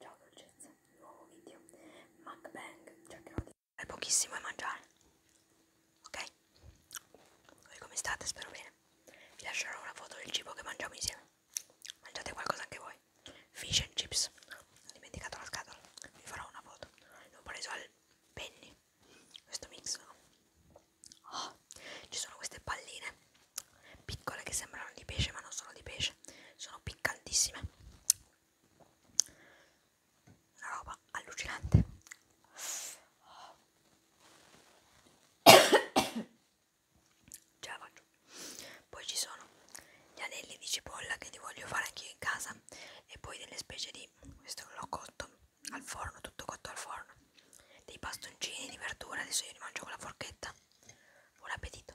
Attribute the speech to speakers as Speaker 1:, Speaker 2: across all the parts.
Speaker 1: Ciao dolcezza, nuovo video MacBang, cercherò di fare pochissimo e mangiare Ok? Voi come state? Spero bene Vi lascerò una foto del cibo che mangiamo insieme Mangiate qualcosa anche voi Fish and chips Ho dimenticato la scatola Vi farò una foto L'ho preso al penny Questo mix no? oh, Ci sono queste palline piccole che sembrano di pesce ma non sono di pesce sono piccantissime una roba allucinante ce la faccio poi ci sono gli anelli di cipolla che li voglio fare anch'io in casa e poi delle specie di questo l'ho cotto al forno tutto cotto al forno dei pastoncini di verdura adesso io li mangio con la forchetta buon appetito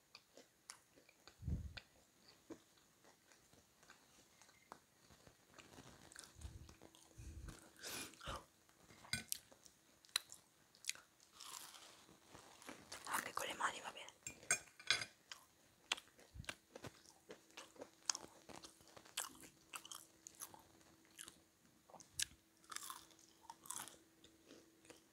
Speaker 1: anche con le mani va bene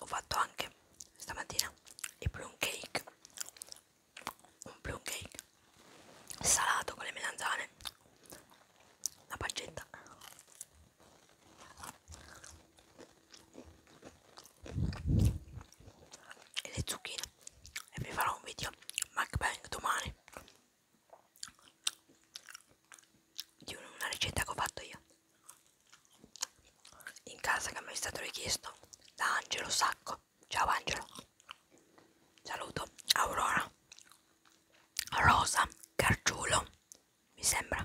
Speaker 1: ho fatto anche stamattina i plum cake un plum cake salato con le melanzane la pancetta e le zucchine e vi farò un video mukbang domani di una ricetta che ho fatto io in casa che mi è stato richiesto da Angelo Sacco. Ciao Angelo. Saluto Aurora. Rosa Carciulo, mi sembra.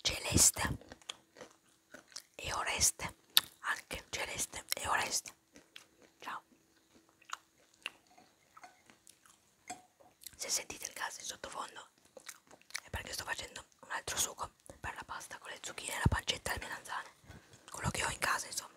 Speaker 1: Celeste e Oreste, anche Celeste e Oreste. Ciao se sentite il gas in sottofondo è perché sto facendo un altro sugo per la pasta con le zucchine, la pancetta e le melanzane quello che ho in casa insomma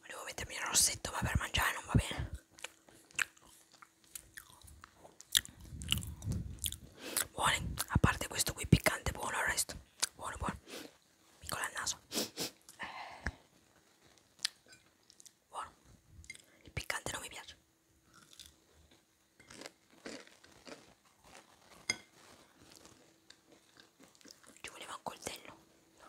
Speaker 1: volevo mettermi il rossetto ma per mangiare non va bene buoni a parte questo qui piccante buono il resto buono buono piccola al naso buono il piccante non mi piace ci voleva un coltello no,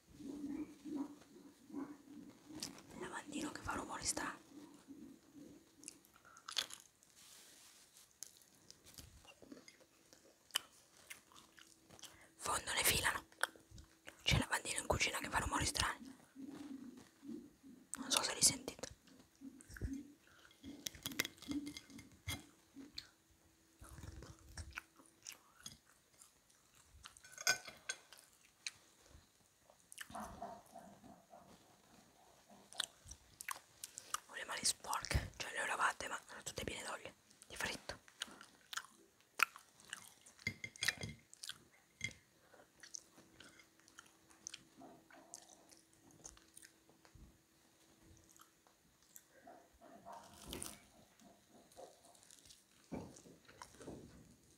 Speaker 1: il lavandino che fa rumore strano fondo ne filano c'è il lavandino in cucina che fa rumori strani non so se li sentite ho le mani sporche, cioè le ho lavate ma sono tutte piene d'olio, di fritto.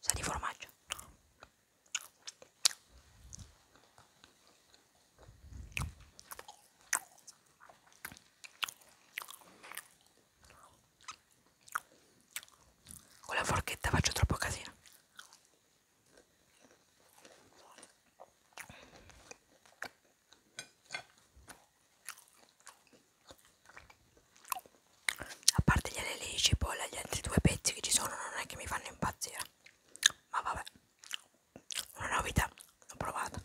Speaker 1: sa di formaggio con la forchetta faccio troppo casino a parte gli anelli di cipolla gli altri due pezzi che ci sono non è che mi fanno impazzire ma vabbè una novità l'ho provata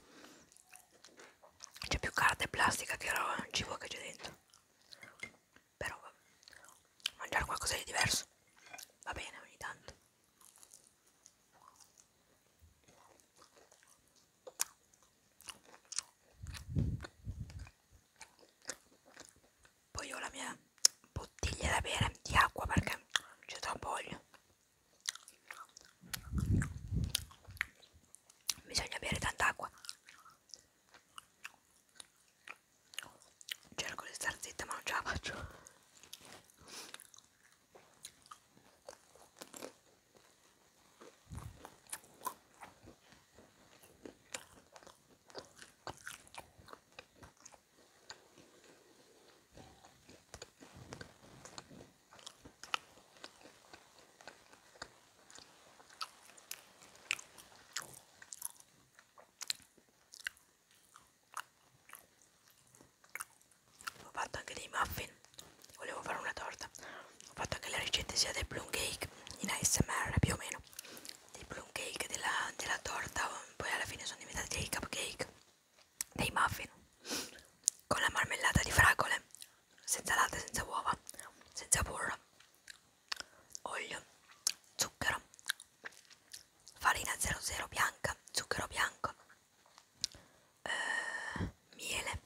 Speaker 1: c'è più carta e plastica che roba cibo che c'è dentro però vabbè. mangiare qualcosa di diverso va bene ogni tanto poi ho la mia bottiglia da bere di acqua perché c'è troppo olio. Bisogna bere tanta acqua. Cerco di star zitta ma non ce la faccio. Ho fatto anche dei muffin, volevo fare una torta. Ho fatto anche la ricetta sia del plum cake in ASMR più o meno dei plum cake, della, della torta, poi alla fine sono diventati dei cupcake, dei muffin, con la marmellata di fragole, senza latte, senza uova, senza burro, olio, zucchero, farina 00 bianca, zucchero bianco, eh, miele,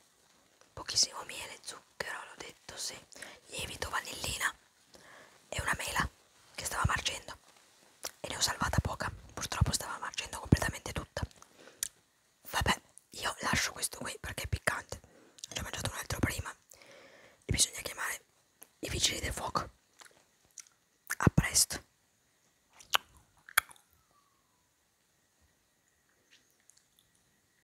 Speaker 1: pochissimo miele, zucchero, l'ho detto, sì, lievito, vanillina e una mela che stava marcendo e ne ho salvata poca, purtroppo stava marcendo completamente tutta. Vabbè, io lascio questo qui perché è piccante, ne ho mangiato un altro prima e bisogna chiamare i vigili del fuoco. A presto.